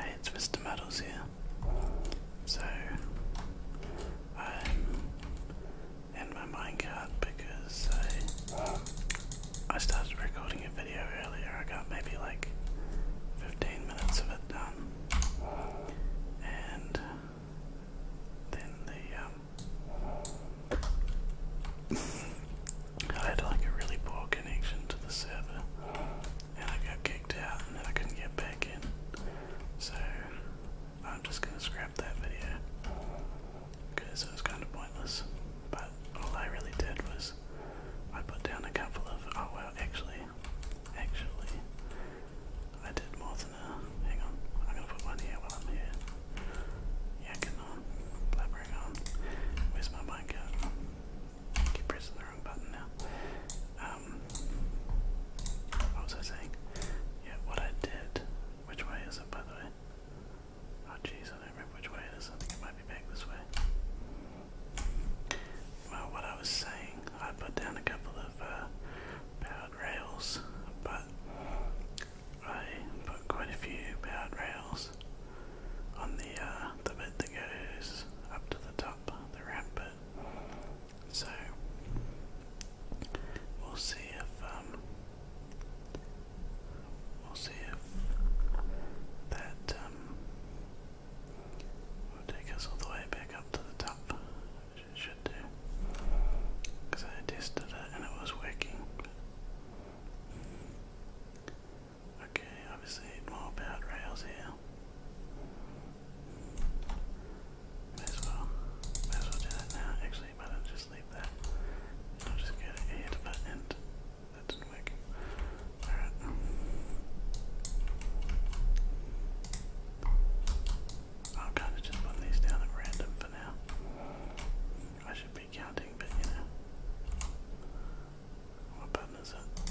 Hey, it's Mr. Muddles here. So, I'm my minecart because I, started recording a video earlier. I got maybe like 15 minutes of it done. And then the, um, I had like a really poor connection to the server and I got kicked out, and then I couldn't get back in. So I'm just gonna scrap that video because it was kind of pointless. But all I really did was I put down a couple of oh well, actually, actually, I did more than a. Hang on, I'm gonna put one here while I'm here. Yakking on, Where's my mic at? keep pressing the wrong button now. Um, what was I saying? Yeah, what I did. Which way is it, by the way? Oh, jeez, I don't remember which way it is. I think it might be back this way. Well, what I was saying, I put down a couple of uh, powered rails, but I put quite a few powered rails on the uh, the bit that goes up to the top, the ramp bit. So we'll see if um, we'll see if that um, will take us all the way back up to the top. should do, because I tested it and it was working. Okay, obviously more bad rails here. May as well, may as well do that now. Actually, why do just leave that? I'll just get it here to That didn't work. Alright. I'll kind of just put these down at random for now. I should be counting, but you know. What button is it?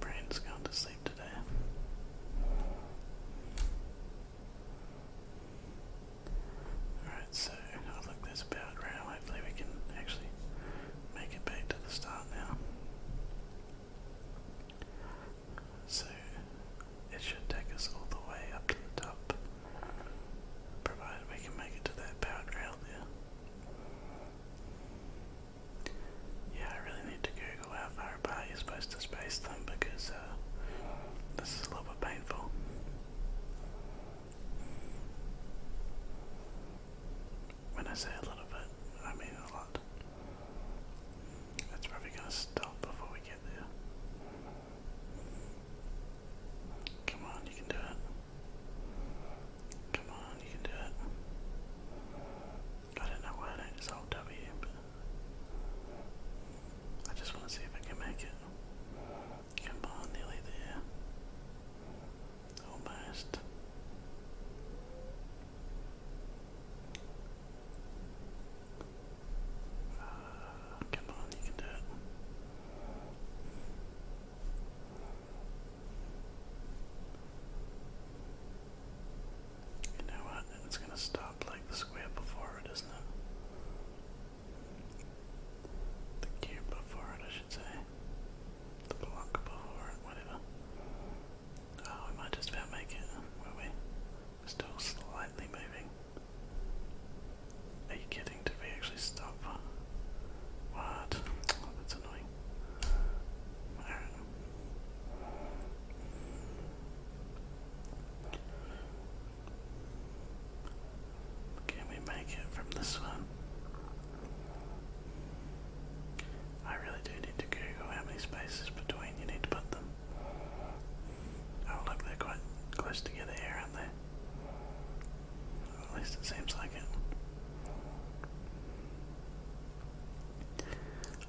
Brain's gone to sleep today. Alright, so I think that's about right. Hopefully we can actually make it back to the start now. So it should take us all the way up to the top. Provided we can make it to that powered rail there. Yeah, I really need to Google how far apart you're supposed to space them because uh, this is a little bit painful. When I say a little bit, I mean a lot. That's probably going to stop before we get there. Come on, you can do it. Come on, you can do it. I don't know why I just hold W, but I just want to see if I can make it. Come on, nearly there. Almost. Uh, come on, you can do it. You know what? It's going to stop like the square before it, isn't it? The cube before it, I should say. The block before it, whatever. Oh, we might just about make it, will we? are still slightly moving. Are you kidding? thing. we actually stop? What? Oh, that's annoying. I Can we make it from this one? I really do need to Google how many spaces between you need to put them. Oh look, they're quite close together here, aren't they? At least it seems like it.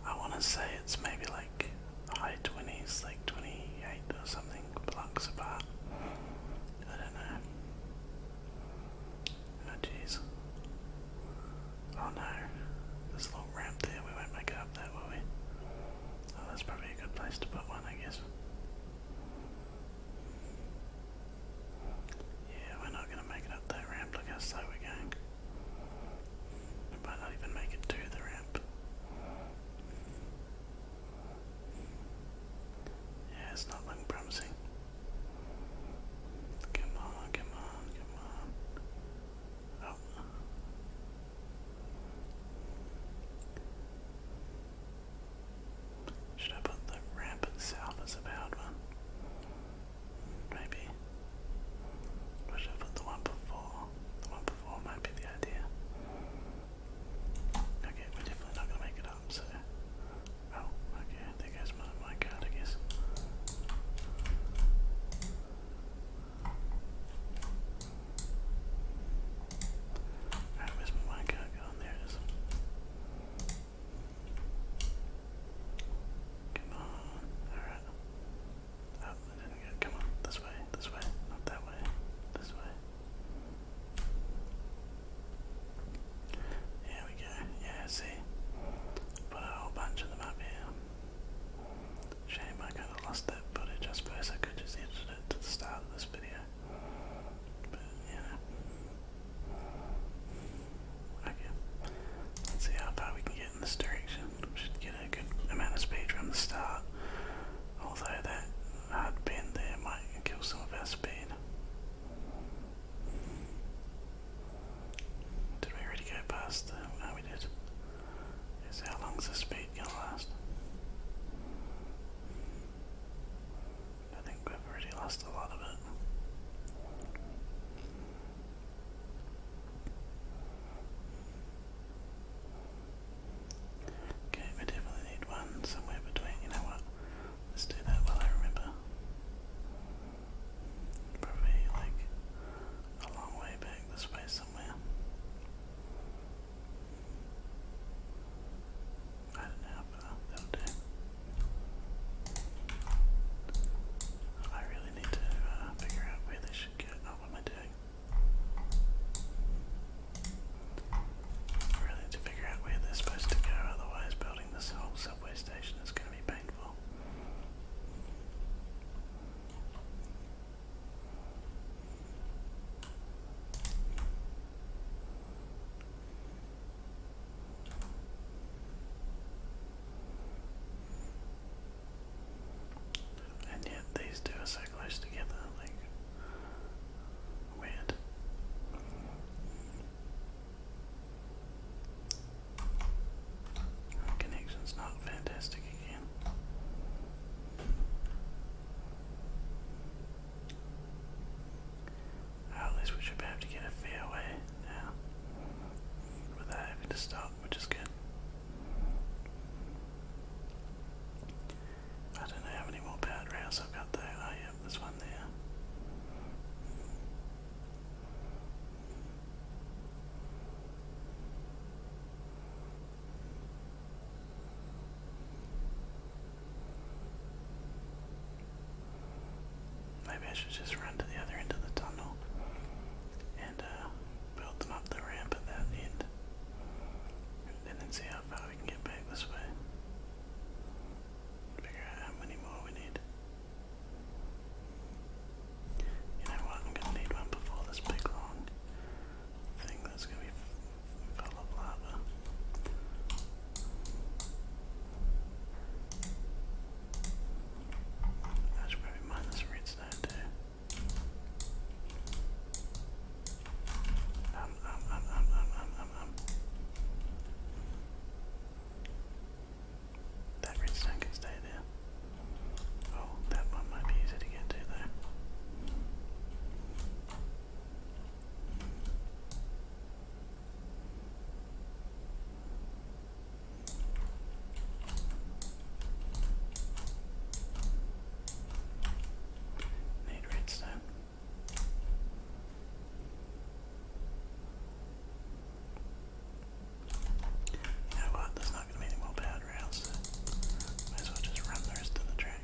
I want to say it's maybe like high 20s, like 28 or something blocks apart. I don't know. Oh jeez. Oh no. There's a little ramp there, we won't make it up there, will we? Oh, that's probably a good place to put one, I guess. Yeah, we're not going to make it up that ramp. Look how slow we're going. We not even make it to the ramp. Yeah, it's not looking promising. Come on, come on, come on. Oh. Should I put the ramp itself as a bad one? Maybe. should I put the one before? The one before might be the idea. Okay, we're definitely not gonna make it up, so. Oh, okay, there goes my, my card, I guess. Alright, where's my minecart going? There it is. Come on. Alright. Oh, I didn't get Come on. This way. This way. Not that way. This way. Here we go. Yeah, see? Put a whole bunch of them up here. Shame I kind of lost that footage. I suppose I could just edit it to the start of this video yeah. Okay. Let's see how far we can get in this direction. should get a good amount of speed from the start. Although that hard bend there might kill some of our speed. Did we already go past no we did. Is how long's the speed gonna last? I think we've already lost a lot of it. Okay, we definitely need one somewhere between. You know what? Let's do that while I remember. Probably like a long way back this way somewhere. I don't know, that'll I really need to uh, figure out where they should get. Oh, what am I doing? I really need to figure out where they're supposed to go, otherwise, building this whole subway station is going to be painful. And yet these two are so close together, like weird. connection's not fantastic again at least we should be able to get a fair way now without having to stop, which is good. I don't know how many more bad rails I've got though. Oh, yeah, there's one there. Maybe I should just run to the other end of the tunnel and uh, build them up the ramp at that end. And then see how far we can get back this way. Figure out how many more we need. You know what? I'm gonna need one before this big long thing that's gonna be Envelope lava. I should probably mine this redstone too. Um, um, um, um, um, um, um, um, That redstone can stay there. Oh, that one might be easy to get to though. Need redstone. You know what? There's not going to be any more powder around, might as well just run the rest of the track.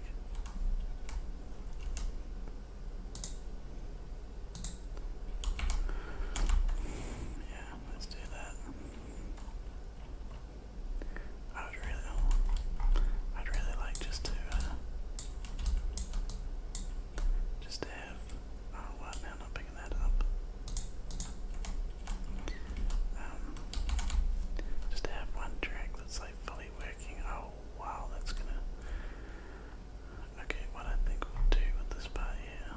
Yeah, let's do that. I would really, I'd really like just to, uh, just to have. Oh, wow, now not picking that up. Um, just to have one track that's like fully working. Oh, wow, that's gonna Okay, what I think we'll do with this part here,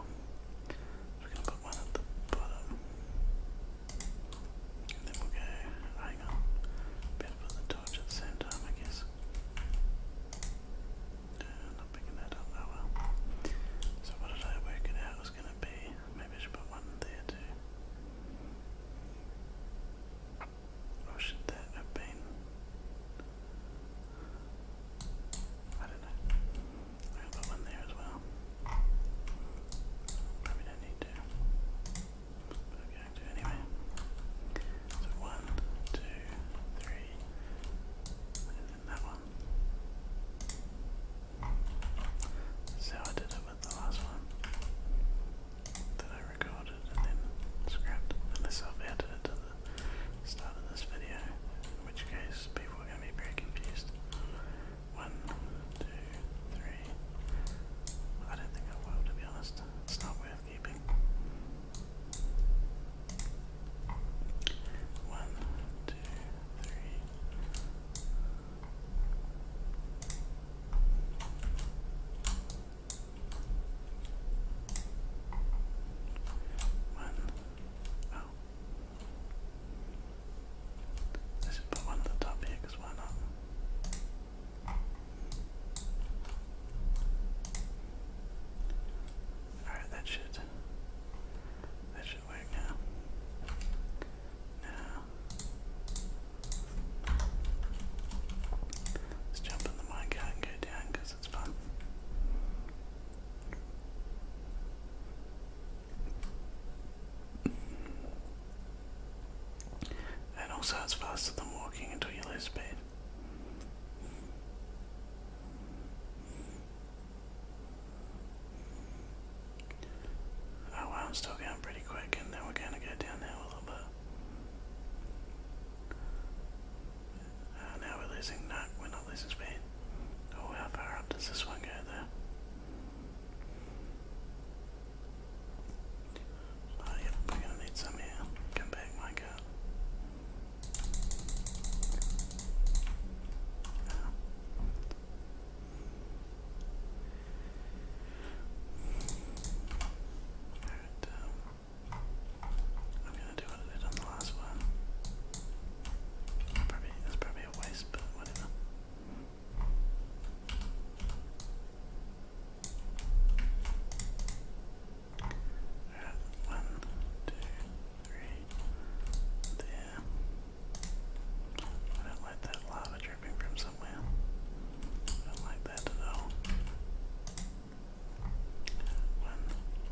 we're gonna put one at the bottom, and then we'll go. Hang on, better put the torch at the same I guess. Uh, not picking that up. Oh well. So what did I work it out was gonna be? Maybe I should put one there too. Or oh, should that have been? I don't know. I one there as well. Probably don't need to. But i going to anyway. So one, two, three, and then that one. So I did it with the last one that I recorded and then scrapped, unless I've added it to the start of this video, in which case people are going to be very confused. One, two, three. I don't think I will, to be honest. It's not worth keeping. One, two, three. One. Let's put one at the top here because why not? Alright, that should that should work now. Now Let's jump in the minecart and go down it's fun. And also, it's faster than walking until you lose speed. Oh I'm still going pretty quick, and then we're going to go down there a little bit now we're losing, no, we're not losing speed. Oh, how far up does this one go there? Oh, yep, we're going to need some here. Come back, my I'm gonna do what I did on the last one. Probably that's probably a waste, but whatever. one, two, three. There. don't like that lava dripping from somewhere somewhere. I don't like that at One,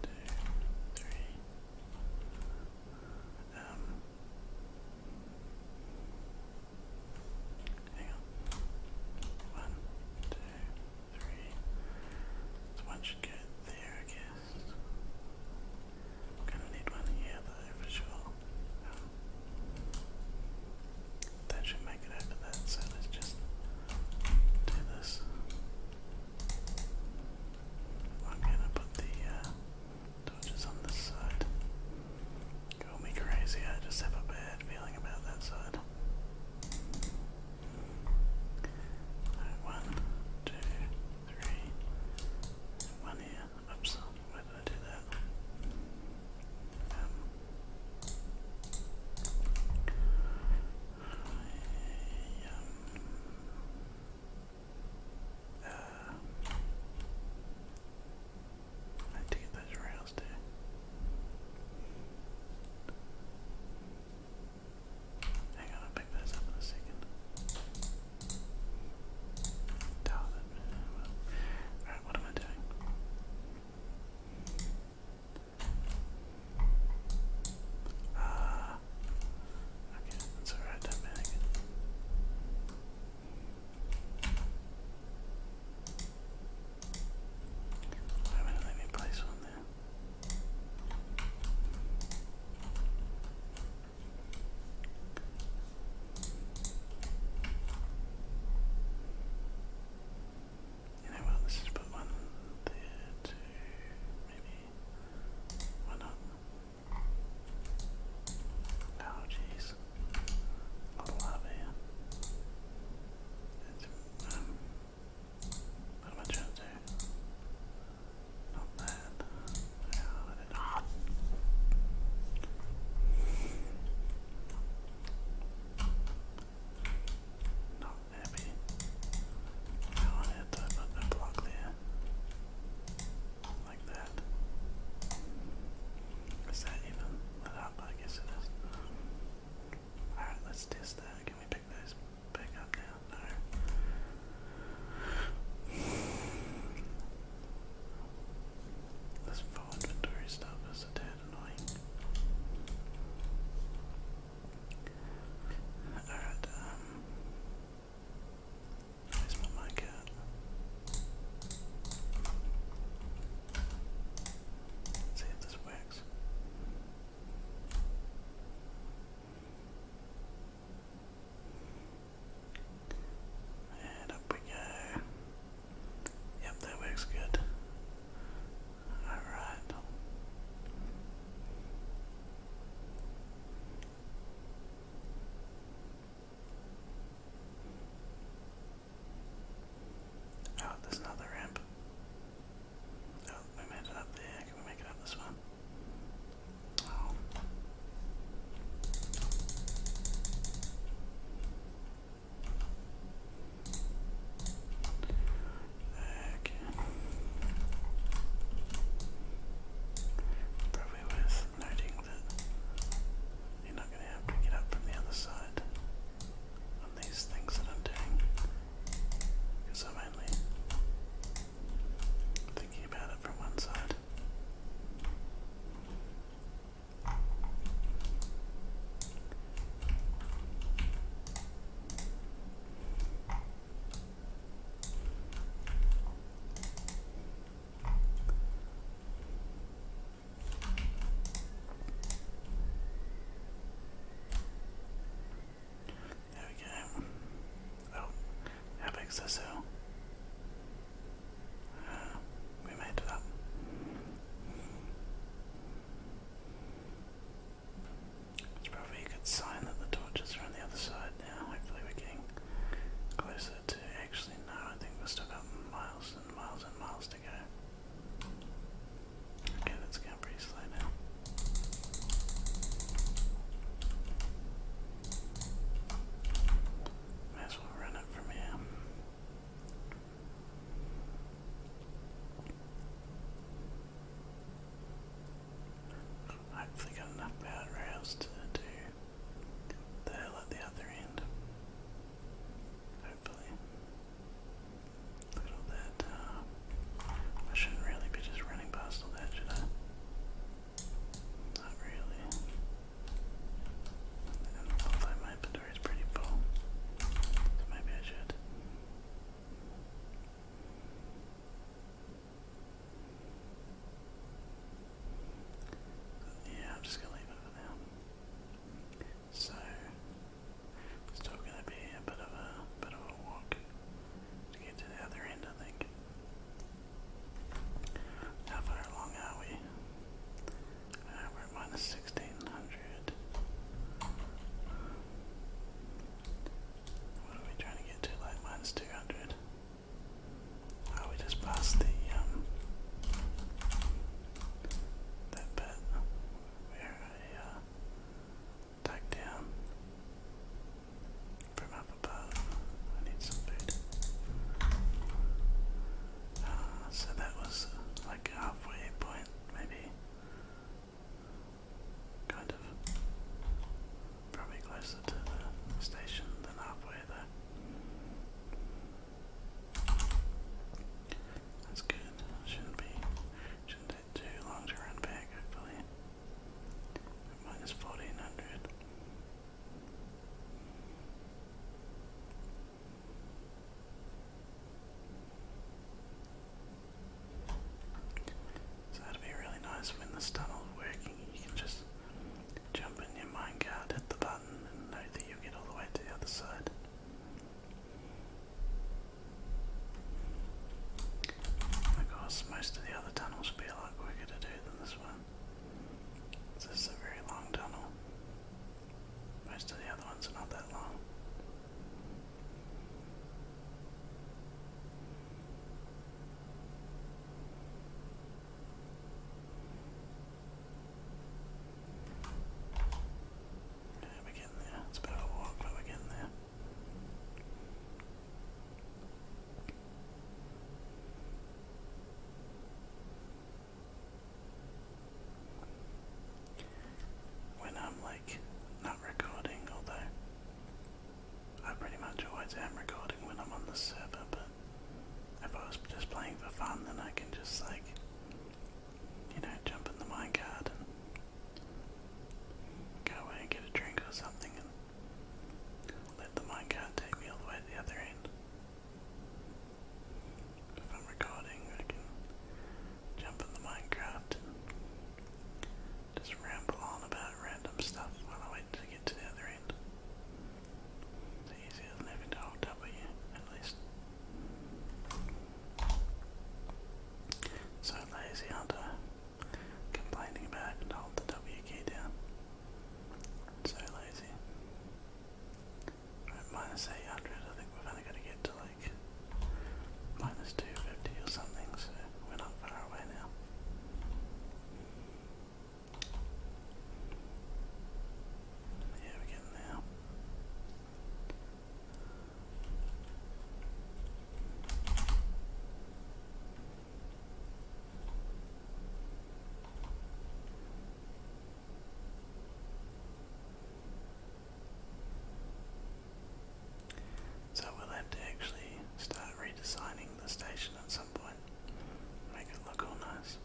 two, three. hang on. One, two, three. one should go there I guess. I'm gonna need one here though for sure. Um, that should make it over there, so let's just do this. I'm gonna put the uh, on this side. Call me crazy, I just have a bad feeling about that side. Right, one, two, three, one here. Oops, why did I do that? Um, I, um, to get those rails there. Hang on, I'll pick those up in a second. Alright, what am I doing? Ah, uh, okay, that's alright, that bag. let me place one there? You know what, let's put one there, two, maybe. Why not? Oh jeez. A lot of It's, um, what am I trying Not that. Oh, I ah. Not happy. I want to hit that block there. Like that. Is that even lit up? I guess it is. Alright, let's test that. Can we pick those back up now? No. This full inventory stuff is a tad annoying. Alright, um. Where's my mic at? See if this works. And up we go. Yep, that works good. Alright. Oh, there's another ramp. Oh, we made it up there. Can we make it up this one? Oh. Probably worth noting that you're not going to have to get up from the other side on these things that I'm doing because I'm only thinking about it from one side. There we go. Oh, how big's this uh, we made it up. It's probably a good sign that the torches are on the other side now. Hopefully we're getting closer to actually now. I think we are still got miles and miles and miles to go. Okay, that's going pretty slow now. May as well run it from here. Hopefully got enough power rails to do the hill at the other end. Hopefully. Look at all that. Uh, I shouldn't really be just running past all that, should I? Not really. And although I might Twitter pretty full. So maybe I Yeah, I'm just gonna leave it for now. So it's still gonna be a bit of a bit of a walk to get to the other end I think. How far along are we? Uh, we're minus sixteen hundred. What are we trying to get to? Like minus two hundred. Oh, we just passed the um, that bit where I uh down from up above. I need some food. Uh, so that was uh, like halfway point, maybe. Kind of. Probably closer to the station than halfway though. That's good. Shouldn't be shouldn't take too long to run back, hopefully. Minus fourteen hundred. So that'd be really nice when this tunnel's working, you can just jump in your minecart, hit the button, and know that you'll get all the way to the other side. Of course, most of the other tunnels will be a lot quicker to do than this one. This is a very long tunnel. Most of the other ones are not that long. Yeah, we're getting It's a bit of a walk, but we're there when I'm like not recording, although I pretty much always am recording when I'm on the server, but if I was just playing for fun, then I can just like, you know, jump in the minecart and go away and get a drink or something and let the minecart take me all the way the other end. If I'm recording, I can jump in the Minecraft just ramble on about random stuff while I wait to get to the other end. It's easier than having to hold W, at least. So lazy, aren't I? Complaining about having hold the W key down. So lazy. 800, I think we are only going to get to like minus 250 or something, so we're not far away now. Yeah, we're getting there. So we'll have to actually start redesigning the station at some point. Make it look all nice.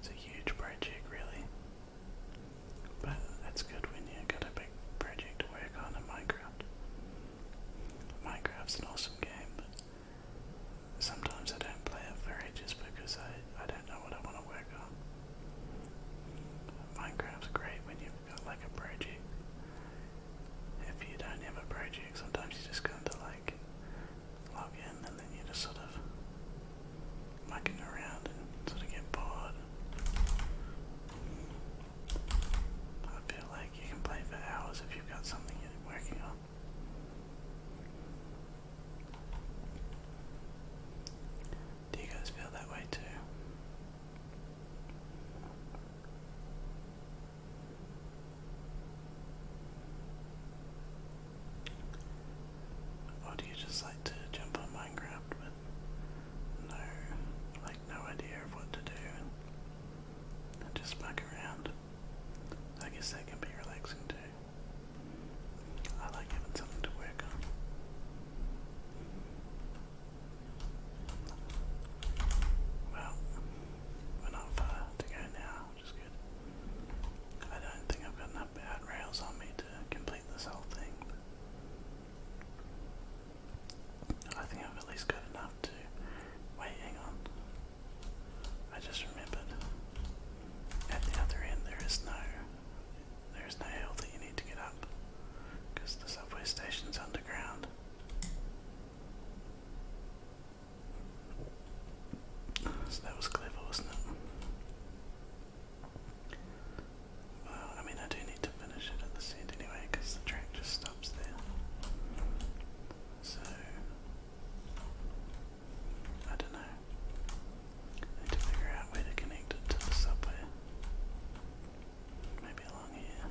It's a huge project really. But that's good when you've got a big project to work on in Minecraft. Minecraft's an awesome game, Sometimes I don't play it for ages because I, I don't know what I want to work on. Minecraft's great when you've got like a project. If you don't have a project, sometimes you just kind of like log in and then you just sort of mucking around and sort of get bored. I feel like you can play for hours if you've got something you're working on. Do you guys feel that way too? Or do you just like to jump on Minecraft with no, like no idea of what to do just bug around? I guess that can be relaxing too. I like having something to work on. Well, we're not far to go now, which is good. I don't think I've got enough bad rails on me to complete this whole thing. I think I've at least got enough to. Wait, hang on. I just remembered. At the other end, there is no, there is no hill that you need to get up, because the subway station's underground. So that was clever, wasn't it? Well, I mean, I do need to finish it at the end anyway, because the track just stops there. So I don't know. need to figure out where to connect it to the subway. Maybe along here.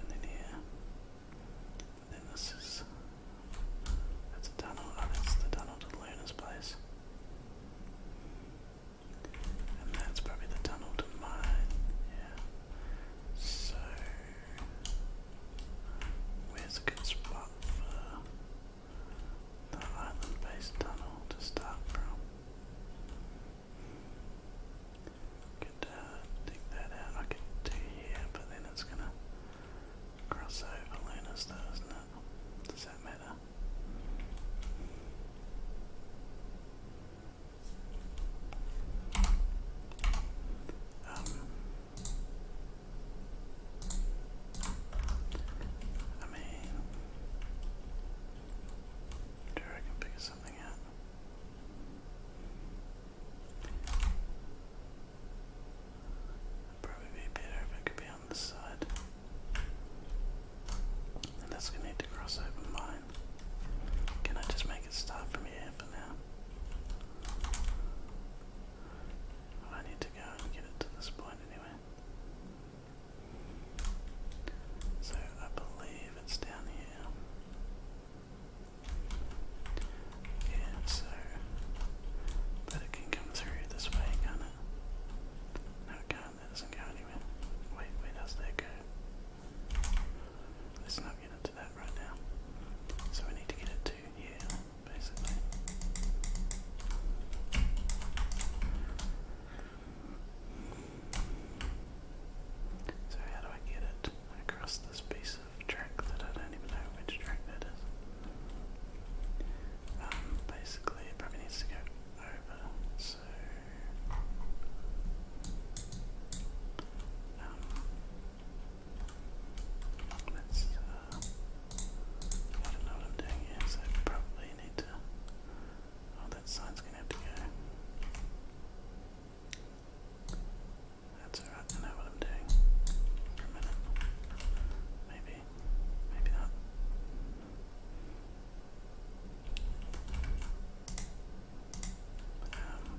And then here. And then this is that's a tunnel. Oh, that's the tunnel to Luna's place. And that's probably the tunnel to mine. Yeah. So Where's a good spot for the island based tunnel to start from? Could uh, dig that out. I could do here, but then it's gonna cross over Luna's though, not it? Does that matter? Um, I mean, do I something out? probably be better if it could be on this side. And that's gonna need to cross over mine. Can I just make it start from here for now? I need to go and get it to this point anyway. So I believe it's down here. Yeah, so but it can come through this way, can't it? No it can't, that doesn't go anywhere. Wait, where does that go? let not get it to that right now. So we need to get it to here, basically. So how do I get it across this piece of track that I don't even know which track that is? Um, basically it probably needs to go over, so um, Let's, uh, I don't know what I'm doing here, so I probably need to, oh, that sign's gonna have to go. That's alright, I know what I'm doing for a minute. Maybe, maybe not. Um,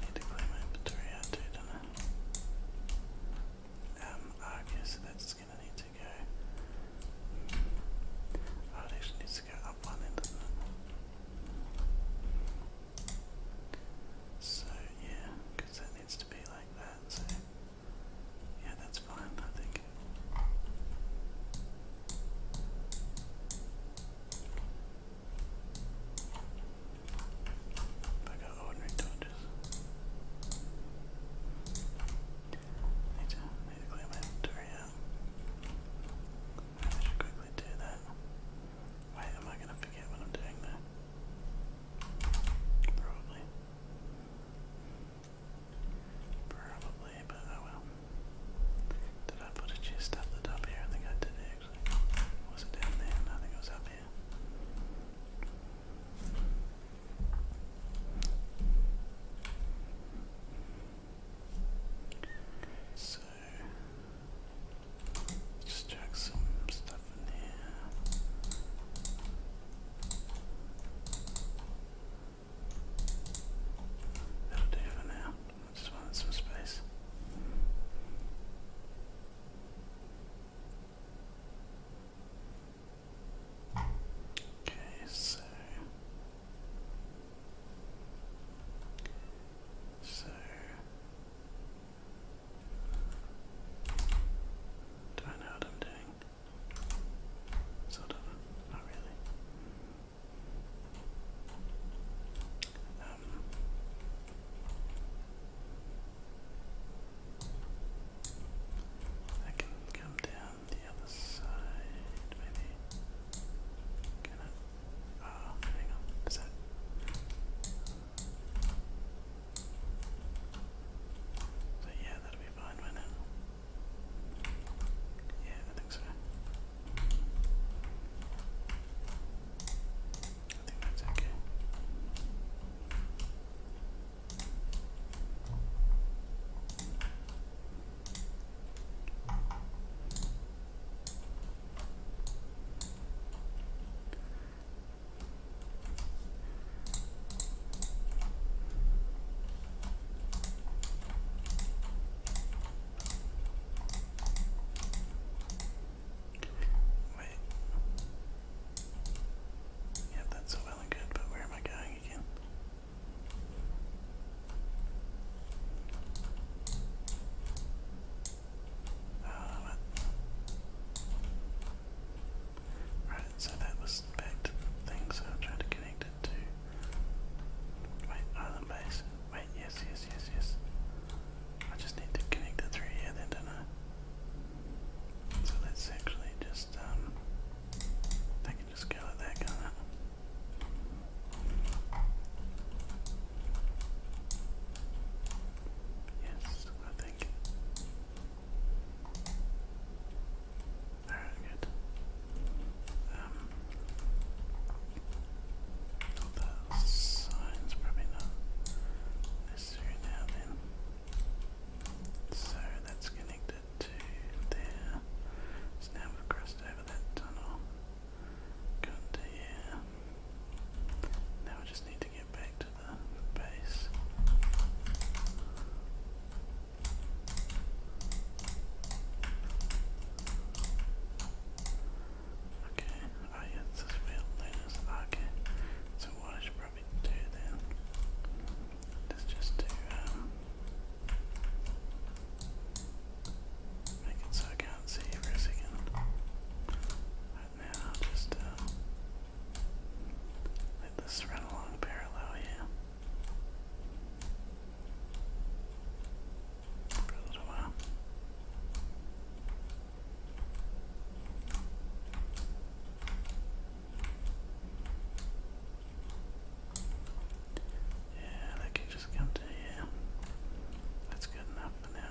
Need to clean my inventory out too, that's gonna need to go. Oh, it needs to go up one it? So, yeah, because that needs to be like that, so. Yeah, that's fine, I think. I got ordinary torches. Need to, need to out. I should quickly do that. Wait, am I gonna forget what I'm doing there? Probably. Probably, but oh well. Did I put a chest up the top here? I think I did was it down there? I think it was up here. So, just chuck some stuff in here. That'll do for now. I just wanted some space. Okay, so so do I know what I'm doing? Sort of, not really. Um, I can come down the other side, maybe. Oh, hang on. Is that? So yeah, that'll be fine by now. Yeah, I think so. I think that's okay. Wait. Yeah, that's all well and good, but where am I going again? Uh, right, so that was back to the thing, so I'll try to connect it to. Wait, island base. Wait, yes, yes, yes, yes. I just need to connect the three here then, don't I? So let's actually just, um, I can just go like that, can Yes, I think. Alright, good. Um, Oh, that sign's probably not necessary now then. So that's connected to there. So now we've crossed over that tunnel. Gone to here. Now we just need to get back to the base. Okay, oh yeah, this is where Luna's. so what I should probably do then is just do, um, make it so I can see you for a Right now, just, um, let this run along parallel here for a Yeah, that could just come to here. That's good enough for now,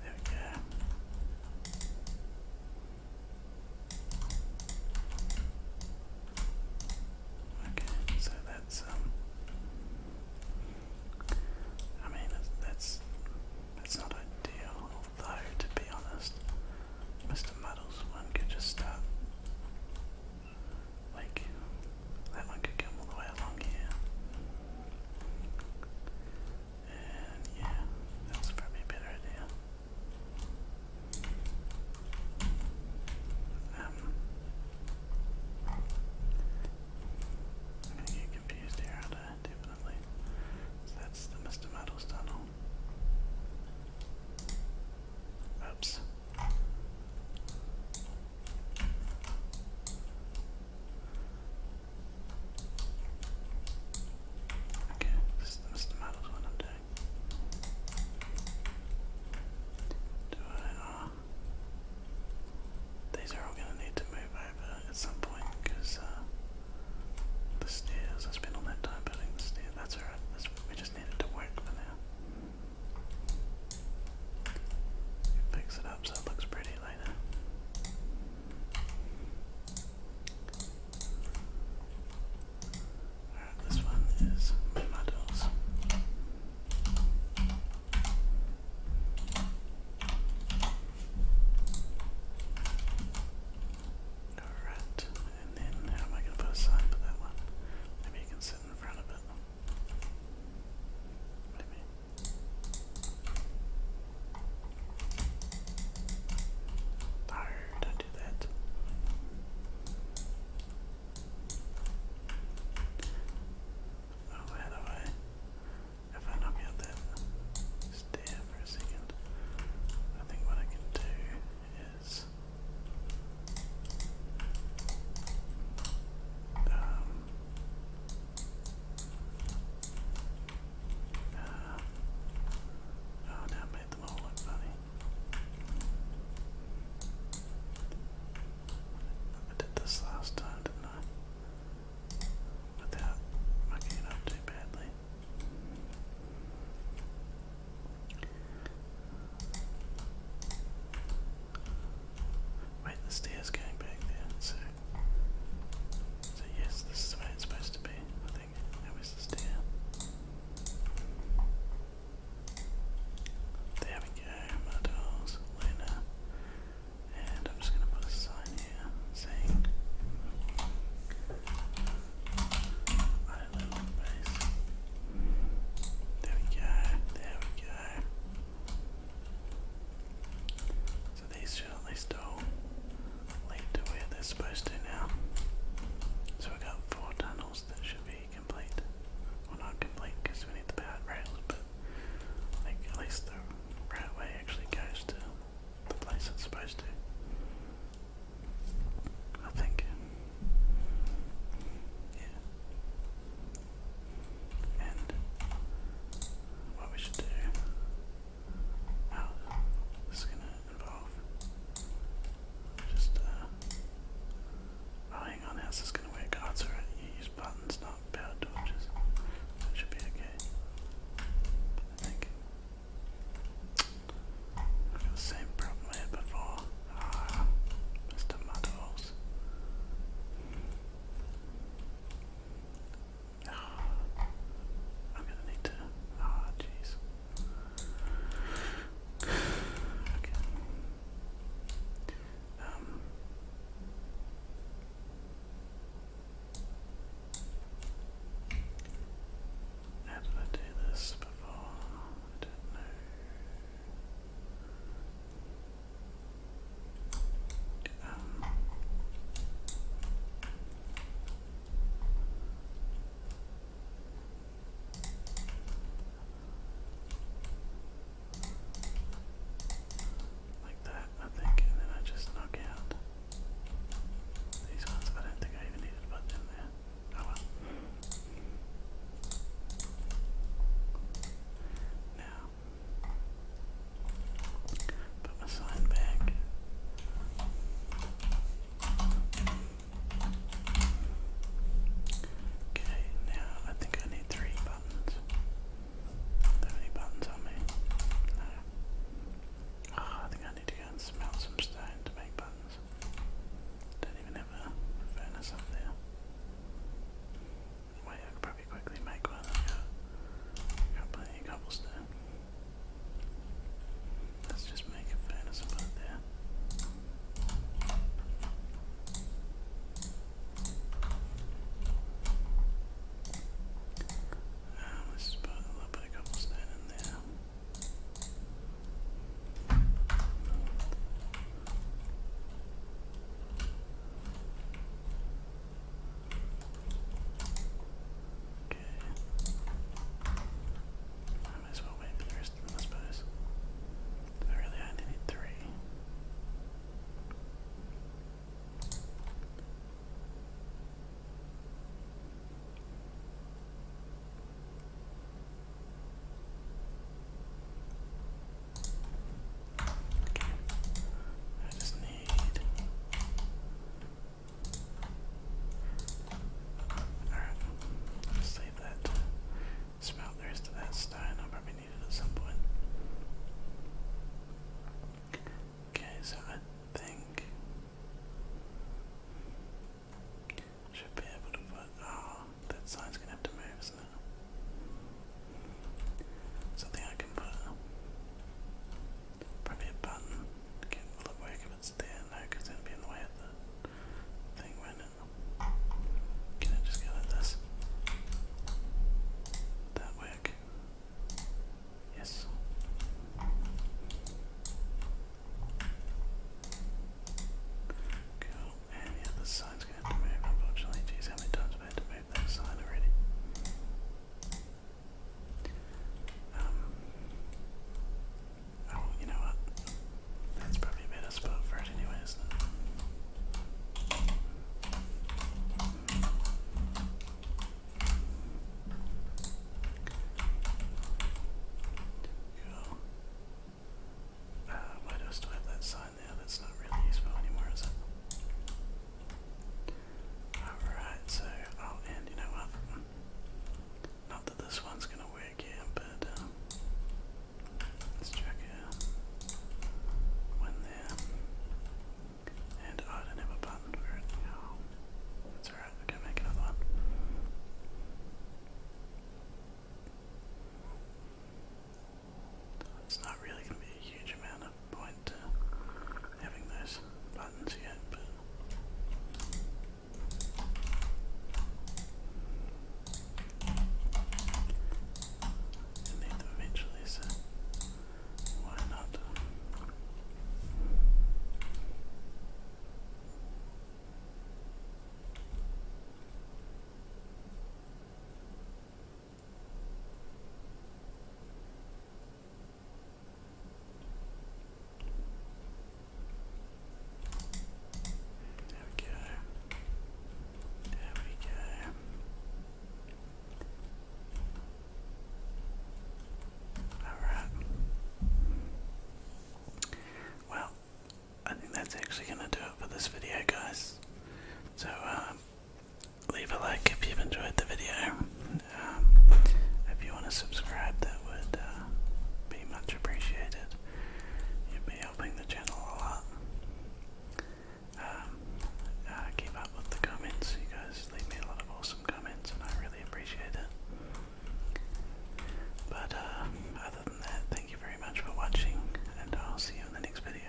There we go. Okay, so that's um I mean that's that's, not ideal, although to be honest, Mr. Muddles one could just start like that one could come all the way along here. And yeah, that's probably a better idea. I'm going confused here, definitely. that's the Mr. Muddles tunnel. Oops. Okay, this is the Mr. Muddles one i uh, these are all going to need to move over at some point because uh, the stairs, I spent all that time building the stairs, that's alright, we just need it to work for now. Fix it up so it looks pretty later. Alright, this one is models. Alright, and then how am I going to put a sign for that one? Maybe you can sit in front of it. Maybe. Don't do that. Oh, how do I? If I knock out that stair for a second, I think what I can do is. Um, uh, oh, now my I did this last time, didn't I? Without mucking it up too badly. Wait, the stairs going back there, so so yes, this is the way it's supposed to be something. That was stand. There we go, models, winner. And I'm just gonna put a sign here saying Island Base. There we go, there we go. So these should at linked to where they're supposed to now. So we got four tunnels that should be complete. Well, not complete because we need the powered rails, but like at least the railway actually goes to the place it's supposed to. I think. Yeah. And what we should do Wow, this is gonna involve just, uh, oh, hang on, how's this gonna work? Oh, it's you use buttons, not power torches. That should be okay, I think. I've got the same problem here before. Ah, Mr. Muddles. Oh, I'm gonna need to. Ah, jeez. Okay. Um. I do this before? I don't know. Um, like that, I think, and then I just knock out these ones. I don't think I even needed to put there. Oh Now, put my sign back. Okay, now I think I need three buttons. How many buttons on me? No. Ah, I think I need to go and smelt some stone to make buttons. Don't even have a furnace up there. Wait, I could probably quickly make one. I've got plenty of cobblestone. Let's just make a furnace and there. let's put a little bit of cobblestone in there. I might as well wait for the rest of them, I suppose. I really only need three. Okay. I just need Alright, save that. Smelt the rest of that stone. I'll probably need it at some point. Okay, so I think should be able to put oh that sign's gonna have to move, Something I can put probably a button. Can look where I segments at it'll be in the way of the thing, won't Can I just go like this? That work? Yes. Cool. And yeah, the sign's going to move, unfortunately. Geez, how many times have had to move that sign already? Um, oh, you know what? That's probably a better spot for it anyways. Cool. Uh, why do I have that sign there? That's not really useful anymore, is it? Alright, so I'll oh, end, you know what? Not that this one's going to work here, but um, let's chuck a one there. And oh, I don't have a button for it. Oh, that's alright, we can make another one. It's not really going to be a huge amount of point having those buttons yet, but I need them eventually, so why not? There There we go. Alright. Well, I think that's actually going to do it for this video, guys. So, uh, leave a like if you've enjoyed the video. Um, if you want to subscribe, that would uh, be much appreciated. You'd be helping the channel a lot. Um, keep up with the comments. You guys leave me a lot of awesome comments, and I really appreciate it. But uh, other than that, thank you very much for watching, and I'll see you in the next video.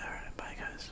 Alright, bye guys.